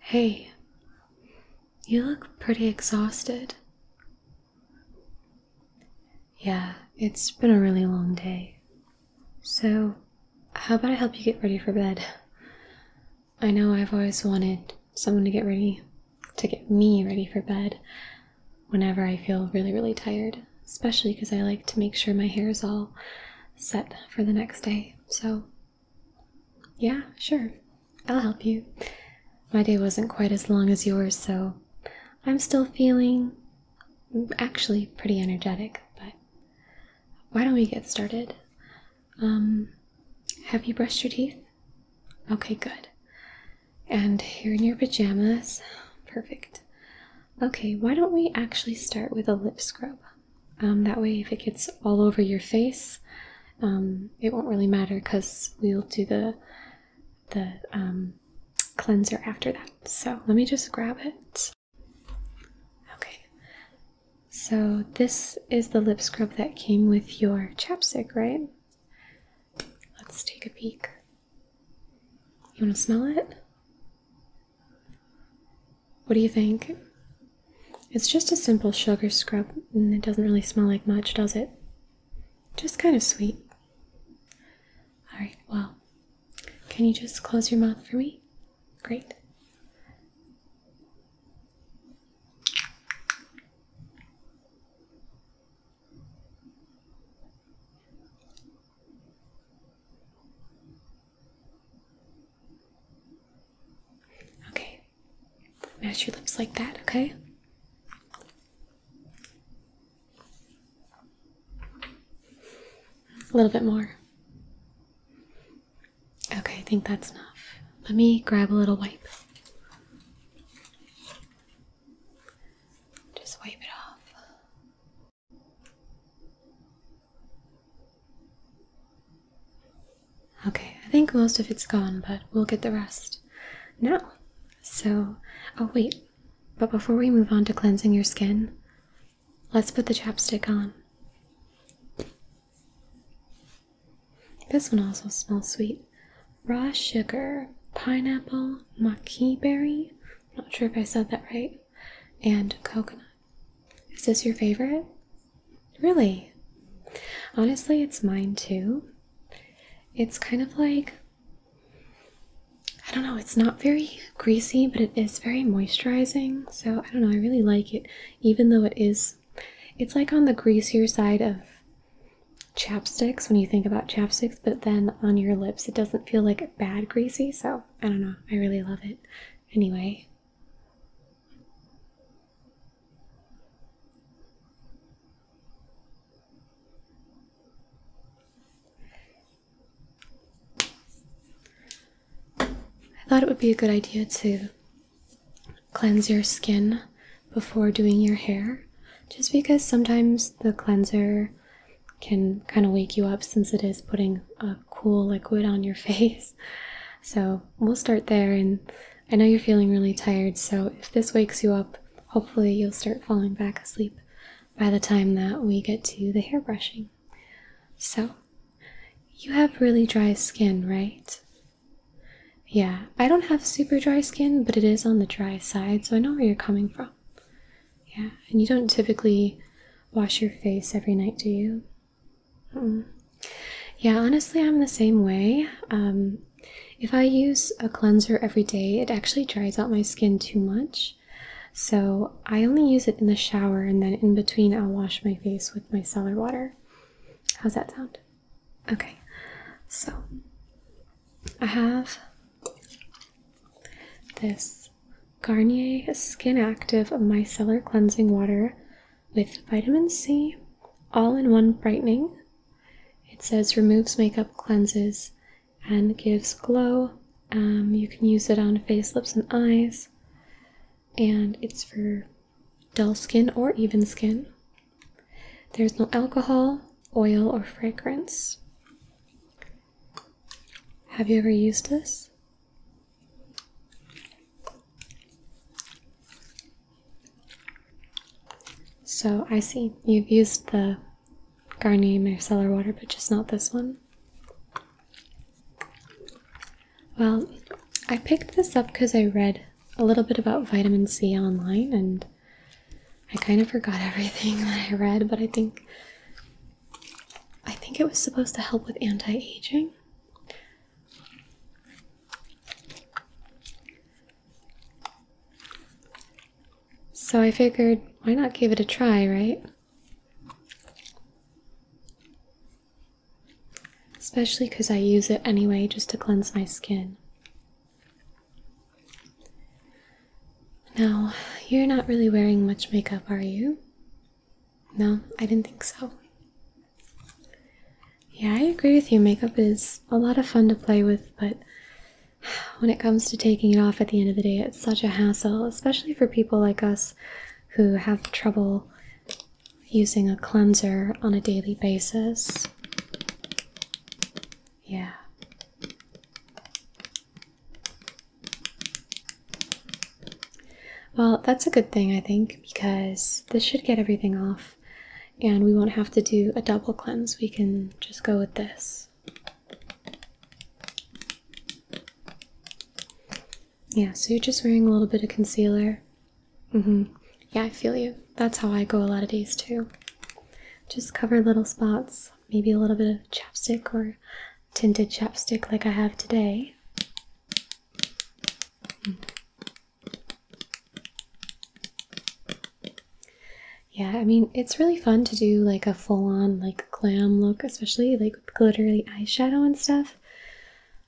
Hey, you look pretty exhausted. Yeah, it's been a really long day. So, how about I help you get ready for bed? I know I've always wanted someone to get ready, to get me ready for bed whenever I feel really, really tired, especially because I like to make sure my hair is all set for the next day. So, yeah, sure. I'll help you. My day wasn't quite as long as yours, so I'm still feeling actually pretty energetic, but why don't we get started? Um, have you brushed your teeth? Okay, good. And you're in your pajamas. Perfect. Okay, why don't we actually start with a lip scrub? Um, that way, if it gets all over your face, um, it won't really matter because we'll do the the um, cleanser after that. So let me just grab it. Okay. So this is the lip scrub that came with your chapstick, right? Let's take a peek. You want to smell it? What do you think? It's just a simple sugar scrub and it doesn't really smell like much, does it? Just kind of sweet. Alright, well, can you just close your mouth for me? Great. Okay. Mash your lips like that, okay? A little bit more. Okay, I think that's enough. Let me grab a little wipe. Just wipe it off. Okay, I think most of it's gone, but we'll get the rest now. So, oh wait, but before we move on to cleansing your skin, let's put the chapstick on. This one also smells sweet. Raw sugar, pineapple, maki berry, not sure if I said that right, and coconut. Is this your favorite? Really? Honestly, it's mine too. It's kind of like I don't know, it's not very greasy, but it is very moisturizing. So, I don't know, I really like it even though it is it's like on the greasier side of chapsticks when you think about chapsticks, but then on your lips it doesn't feel like bad greasy, so I don't know. I really love it. Anyway. I thought it would be a good idea to cleanse your skin before doing your hair, just because sometimes the cleanser can kind of wake you up since it is putting a cool liquid on your face. So we'll start there. And I know you're feeling really tired, so if this wakes you up, hopefully you'll start falling back asleep by the time that we get to the hair brushing. So, you have really dry skin, right? Yeah, I don't have super dry skin, but it is on the dry side, so I know where you're coming from. Yeah, and you don't typically wash your face every night, do you? Hmm. Yeah, honestly, I'm the same way. Um, if I use a cleanser every day, it actually dries out my skin too much. So I only use it in the shower, and then in between, I'll wash my face with my cellar water. How's that sound? Okay, so I have this Garnier Skin Active Micellar Cleansing Water with vitamin C, all in one brightening. It says removes makeup, cleanses, and gives glow. Um, you can use it on face, lips, and eyes, and it's for dull skin or even skin. There's no alcohol, oil, or fragrance. Have you ever used this? So I see you've used the Garnier Micellar water, but just not this one. Well, I picked this up because I read a little bit about vitamin C online and I kind of forgot everything that I read, but I think I think it was supposed to help with anti-aging. So I figured, why not give it a try, right? Especially because I use it anyway just to cleanse my skin. Now, you're not really wearing much makeup, are you? No, I didn't think so. Yeah, I agree with you. Makeup is a lot of fun to play with, but when it comes to taking it off at the end of the day, it's such a hassle, especially for people like us who have trouble using a cleanser on a daily basis. Yeah. Well, that's a good thing, I think, because this should get everything off and we won't have to do a double cleanse. We can just go with this. Yeah, so you're just wearing a little bit of concealer. Mm-hmm. Yeah, I feel you. That's how I go a lot of days too. Just cover little spots maybe a little bit of chapstick or tinted chapstick like I have today. Yeah, I mean, it's really fun to do like a full on like glam look, especially like with glittery eyeshadow and stuff.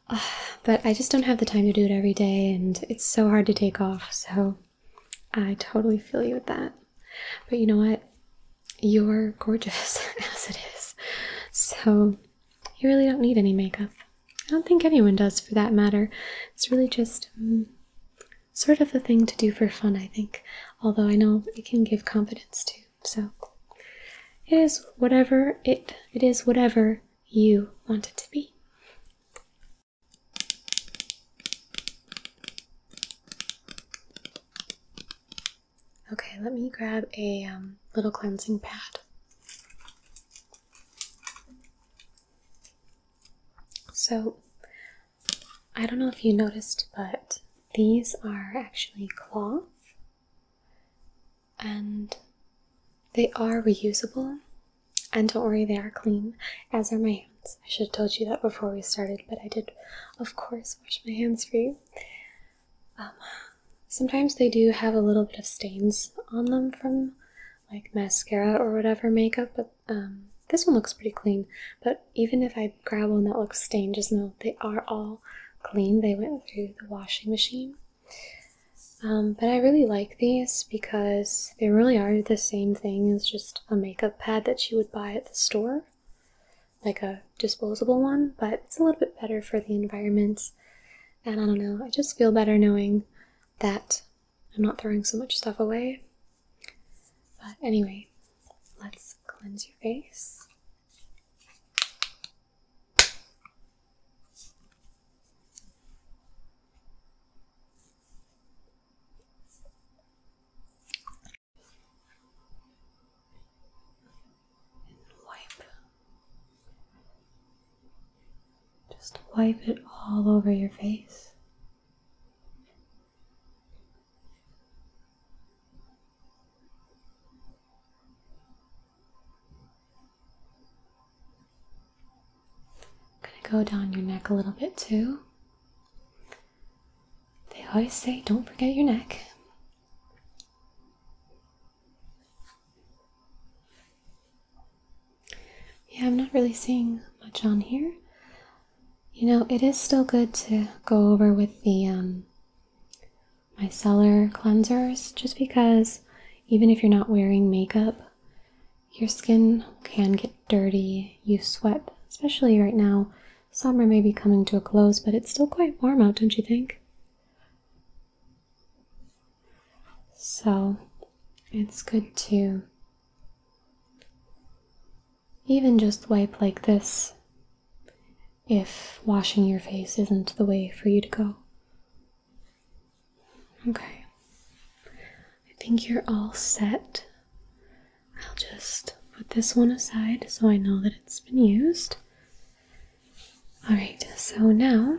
Ah, but I just don't have the time to do it every day, and it's so hard to take off. So I totally feel you with that. But you know what? You're gorgeous as it is. So you really don't need any makeup. I don't think anyone does for that matter. It's really just mm, sort of a thing to do for fun, I think. Although I know it can give confidence too. So it is whatever it it is whatever you want it to be. Okay, let me grab a um, little cleansing pad. So, I don't know if you noticed, but these are actually cloth and they are reusable. And don't worry, they are clean, as are my I should have told you that before we started, but I did, of course, wash my hands for you. Um, sometimes they do have a little bit of stains on them from like mascara or whatever makeup, but um, this one looks pretty clean. But even if I grab one that looks stained, just know they are all clean. They went through the washing machine. Um, but I really like these because they really are the same thing as just a makeup pad that you would buy at the store, like a disposable one, but it's a little bit better for the environment. And I don't know, I just feel better knowing that I'm not throwing so much stuff away. But anyway, let's cleanse your face wipe. Just wipe it all over your face going to go down your neck a little bit too. They always say, don't forget your neck. Yeah, I'm not really seeing much on here. You know, it is still good to go over with the um, micellar cleansers just because even if you're not wearing makeup, your skin can get dirty, you sweat, especially right now. Summer may be coming to a close, but it's still quite warm out, don't you think? So it's good to even just wipe like this if washing your face isn't the way for you to go. Okay. I think you're all set. I'll just put this one aside so I know that it's been used. Alright, so now.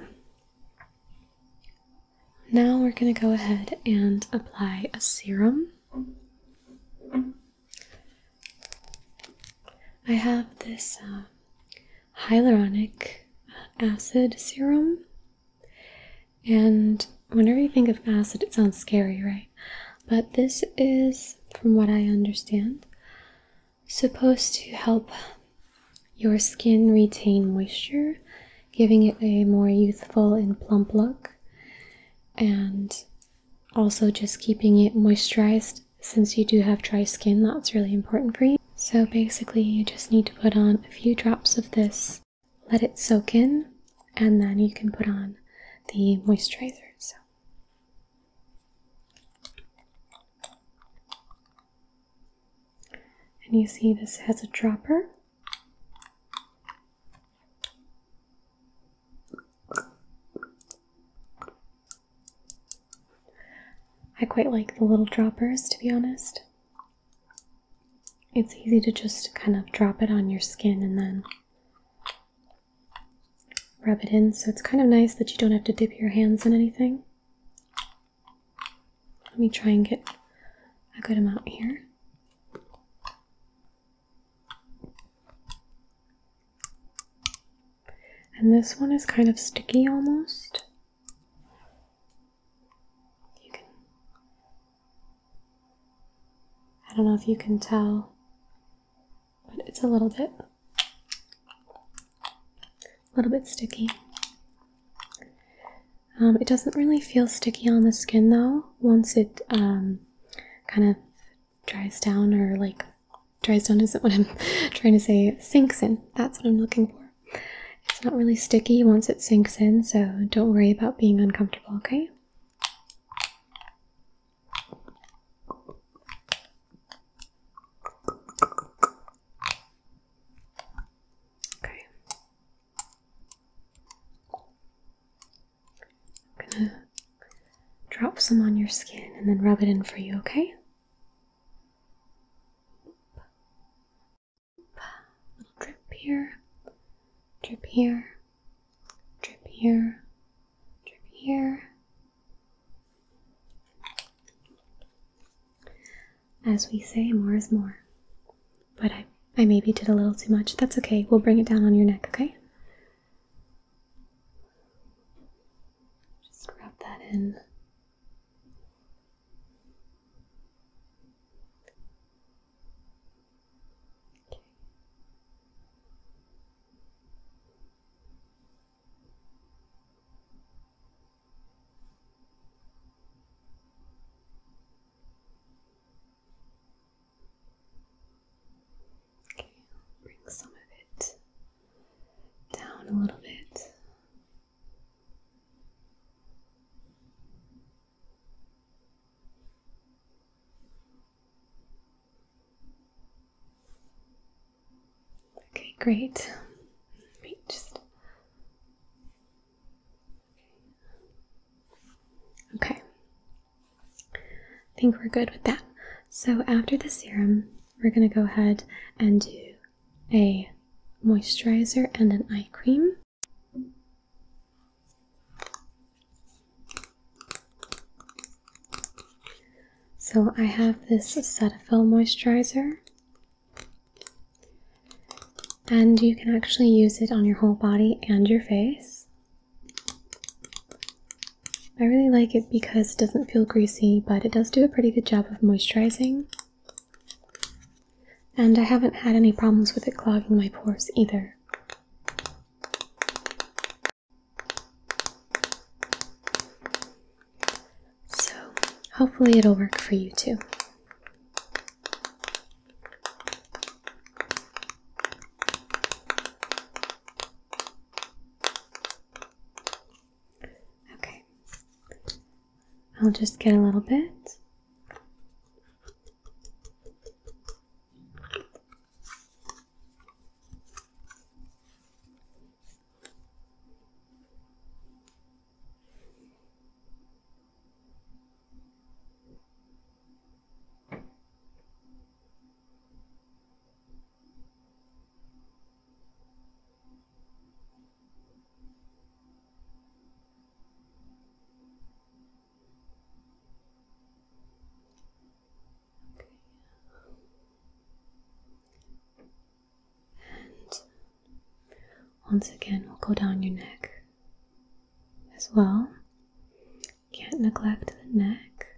Now we're going to go ahead and apply a serum. I have this uh, hyaluronic uh, acid serum, and whenever you think of acid, it sounds scary, right? But this is, from what I understand, supposed to help your skin retain moisture, giving it a more youthful and plump look, and also just keeping it moisturized since you do have dry skin, that's really important for you. So basically, you just need to put on a few drops of this let it soak in, and then you can put on the moisturizer. So. And you see this has a dropper. I quite like the little droppers to be honest it's easy to just kind of drop it on your skin and then rub it in. So it's kind of nice that you don't have to dip your hands in anything. Let me try and get a good amount here. And this one is kind of sticky almost. I don't know if you can tell, but it's a little bit. A little bit sticky. Um, it doesn't really feel sticky on the skin though. Once it um, kind of dries down, or like dries down isn't what I'm trying to say, sinks in. That's what I'm looking for. It's not really sticky once it sinks in, so don't worry about being uncomfortable, okay? Okay. I'm gonna drop some on your skin and then rub it in for you, okay? drip here, drip here, drip here, drip here. As we say, more is more. But I, I maybe did a little too much. That's okay. We'll bring it down on your neck, okay? Just rub that in. Okay. Okay, bring some of it down a little bit. Okay, great. just okay. I think we're good with that. So after the serum, we're gonna go ahead and do a moisturizer and an eye cream. So I have this Cetaphil moisturizer and you can actually use it on your whole body and your face. I really like it because it doesn't feel greasy, but it does do a pretty good job of moisturizing. And I haven't had any problems with it clogging my pores either. So, hopefully, it'll work for you too. Okay. I'll just get a little bit. And once again, we'll go down your neck as well. Can't neglect the neck.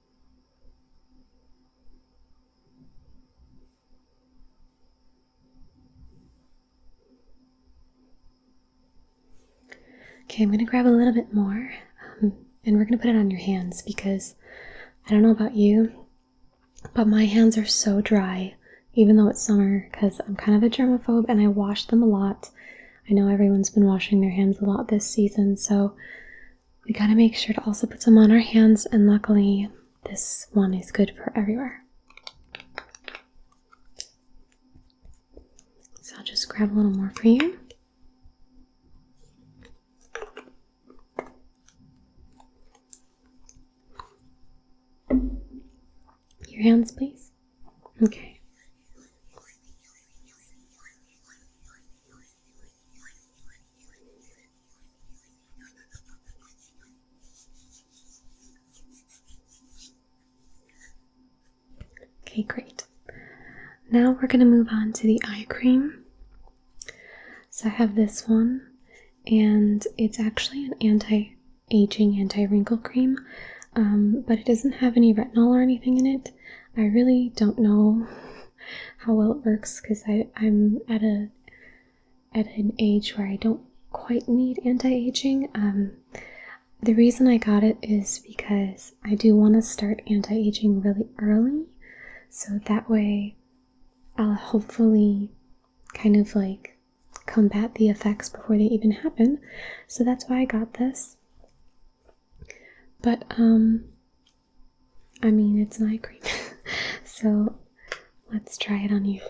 Okay, I'm going to grab a little bit more um, and we're going to put it on your hands because I don't know about you, but my hands are so dry even though it's summer because I'm kind of a germaphobe and I wash them a lot. I know everyone's been washing their hands a lot this season, so we got to make sure to also put some on our hands, and luckily, this one is good for everywhere. So I'll just grab a little more for you. Your hands, please. Okay. Okay, great. Now we're going to move on to the eye cream. So I have this one, and it's actually an anti aging, anti wrinkle cream, um, but it doesn't have any retinol or anything in it. I really don't know how well it works because I'm at a at an age where I don't quite need anti-aging. Um, the reason I got it is because I do want to start anti-aging really early, so that way I'll hopefully kind of like combat the effects before they even happen. So that's why I got this. But um, I mean, it's an eye cream, so let's try it on you.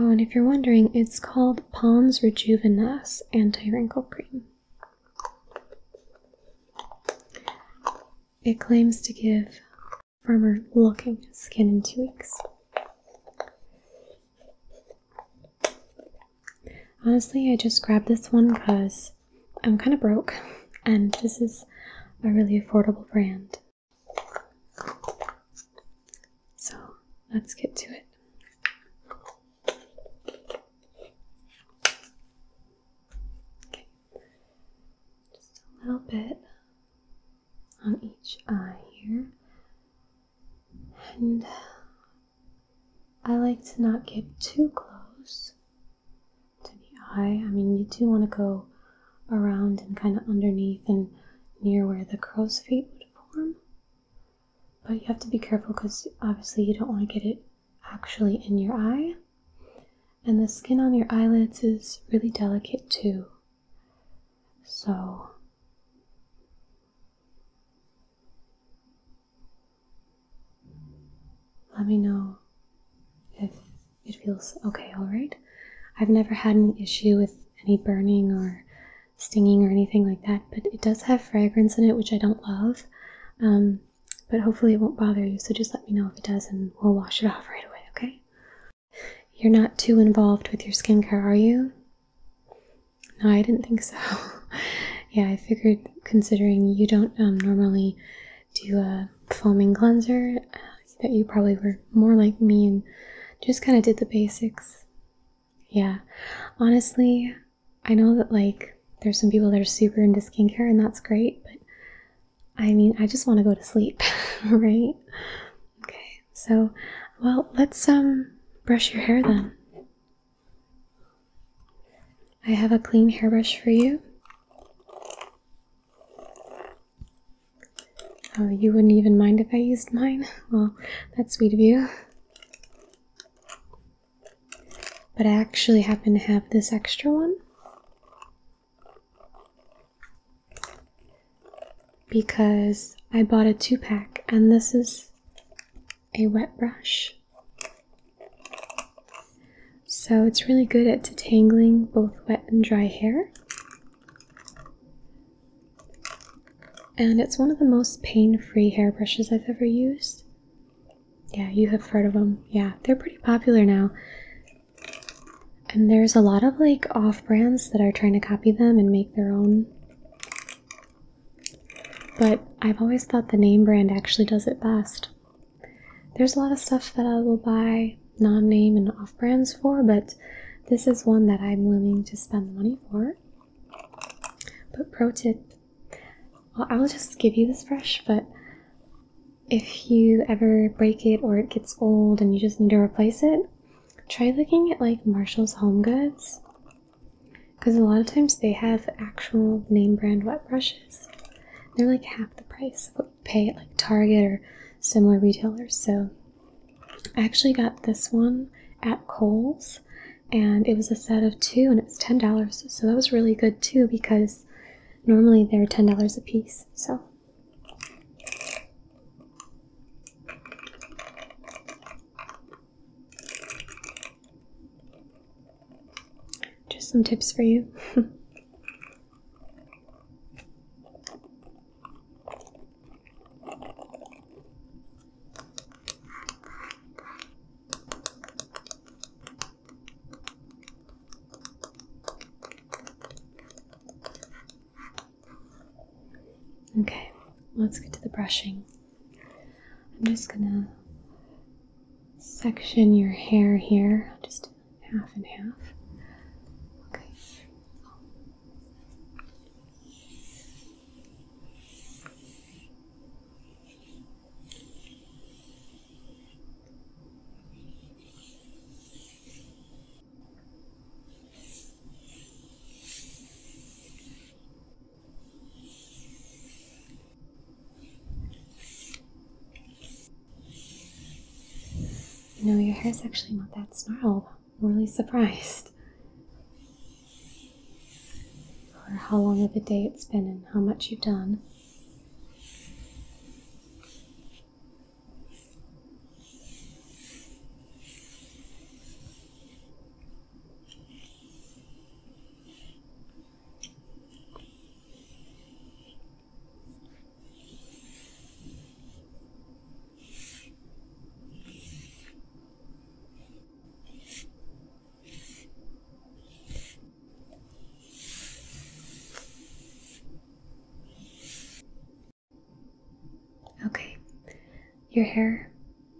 Oh, and if you're wondering, it's called Pond's Rejuvenas Anti Wrinkle Cream. It claims to give firmer looking skin in two weeks. Honestly, I just grabbed this one because I'm kind of broke and this is a really affordable brand. So let's get to it. Okay, just a little bit on each eye here. And uh, I like to not get too close to the eye. I mean, you do want to go around and kind of underneath and near where the crow's feet would form. But you have to be careful because obviously you don't want to get it actually in your eye. And the skin on your eyelids is really delicate too. So, let me know if it feels okay, alright? I've never had any issue with any burning or stinging or anything like that, but it does have fragrance in it, which I don't love. Um, but hopefully it won't bother you, so just let me know if it does and we'll wash it off right away, okay? You're not too involved with your skincare, are you? No, I didn't think so. yeah, I figured considering you don't um, normally do a foaming cleanser, uh, that you probably were more like me and just kind of did the basics. Yeah, honestly, I know that like there's some people that are super into skincare and that's great, but I mean, I just want to go to sleep, right? Okay. So, well, let's um brush your hair then. I have a clean hairbrush for you. Oh, you wouldn't even mind if I used mine? Well, that's sweet of you. But I actually happen to have this extra one because I bought a two pack, and this is a wet brush. So it's really good at detangling both wet and dry hair. And it's one of the most pain free hairbrushes I've ever used. Yeah, you have heard of them. Yeah, they're pretty popular now. And there's a lot of like off brands that are trying to copy them and make their own. But I've always thought the name brand actually does it best. There's a lot of stuff that I will buy non name and off brands for, but this is one that I'm willing to spend the money for. But pro tip well, I'll just give you this brush, but if you ever break it or it gets old and you just need to replace it, try looking at like Marshall's Home Goods. Because a lot of times they have actual name brand wet brushes. They're like half the price of what you pay at like Target or similar retailers. So I actually got this one at Kohl's and it was a set of two and it was ten dollars so that was really good too because normally they're ten dollars a piece so just some tips for you Okay, let's get to the brushing. I'm just gonna section your hair here, just half and half. Okay. No, your hair is actually not that snarled. I'm really surprised or how long of a day it's been and how much you've done. Okay, your hair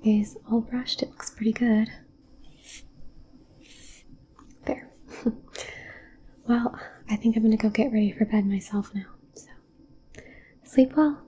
is all brushed, it looks pretty good. There. well, I think I'm gonna go get ready for bed myself now, so sleep well.